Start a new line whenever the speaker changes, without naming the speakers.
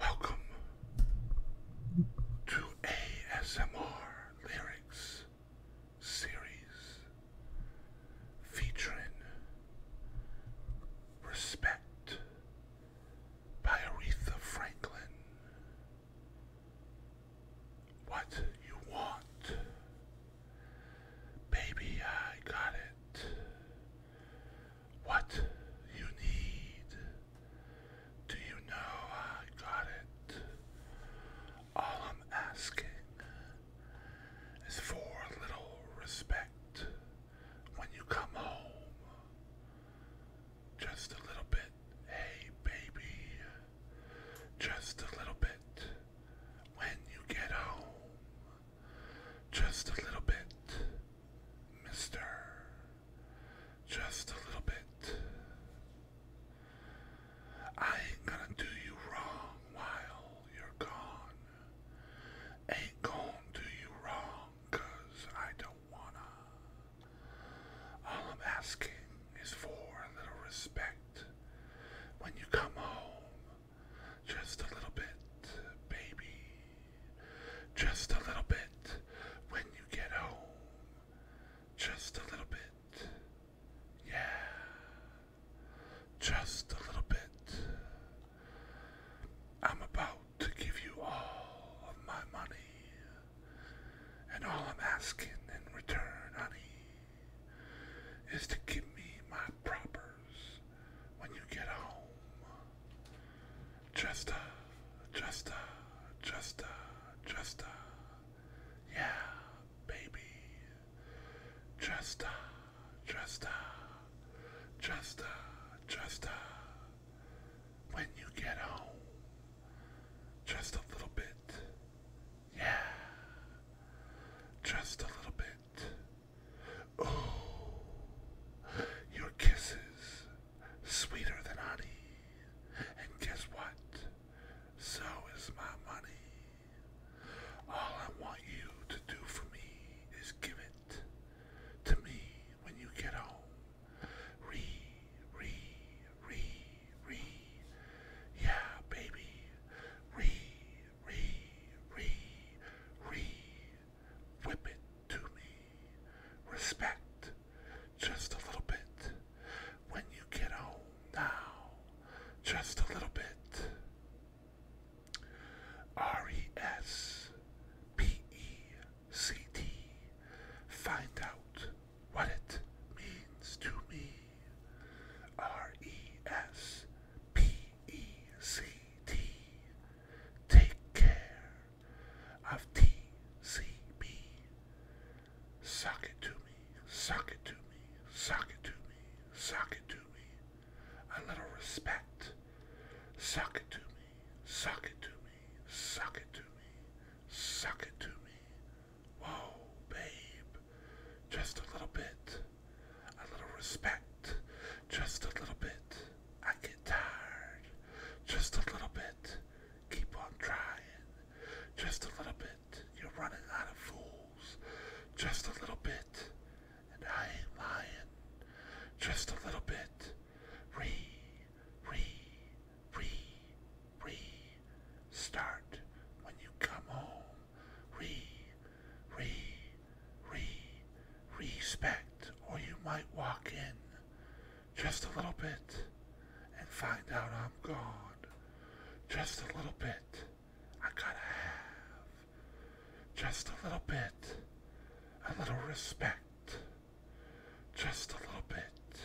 Welcome to ASMR Lyrics Series featuring Respect by Aretha Franklin. What you want, baby, I got it what you need. Do you know I got it? All I'm asking is for a little respect when you come home. Just a little bit, hey baby. Just a little bit when you get home. Just a little bit, mister. Just a little bit. I ain't gonna do you wrong while you're gone. Ain't gonna do you wrong, I don't wanna. All I'm asking is for a little respect when you come home just a little bit, baby. Just a little bit when you get home. Just a little bit. Yeah. Just a little bit. I'm about to give you all of my money. And all I'm asking in return, honey, is to give me my propers when you get home. Just, uh, just, uh, just, uh, just, uh, yeah, baby. Just, uh, just, uh, just, uh, just, uh, when you get home. Just a little bit. Yeah. Just a little bit. Oh, your kisses sweeter than honey. And guess what? So is my money. All I want you to do for me is give it to me when you get home. Re, re, re, re. Yeah, baby. Re, re, re, re, whip it to me. Respect just a little bit when you get home now. Just a little bit. R E S P E C T. Find out what it means to me. R E S P TCT. Take care of TCB. Sock it to me, suck it to me, suck it to me, suck it to me. A little respect. Sock it to me, suck it to me, suck it to me, sock it to me. Whoa, babe. Just a little bit a little respect, just a little bit. I get tired, just a little bit. Keep on trying, just a little bit. You're running out of fools, just a little bit. And I ain't lying, just a little bit. Re, re, re, re. Start when you come home re, re, re, respect, or you might walk in just a little bit and find out I'm gone. Just a little bit I gotta have. Just a little bit, a little respect. Just a little bit.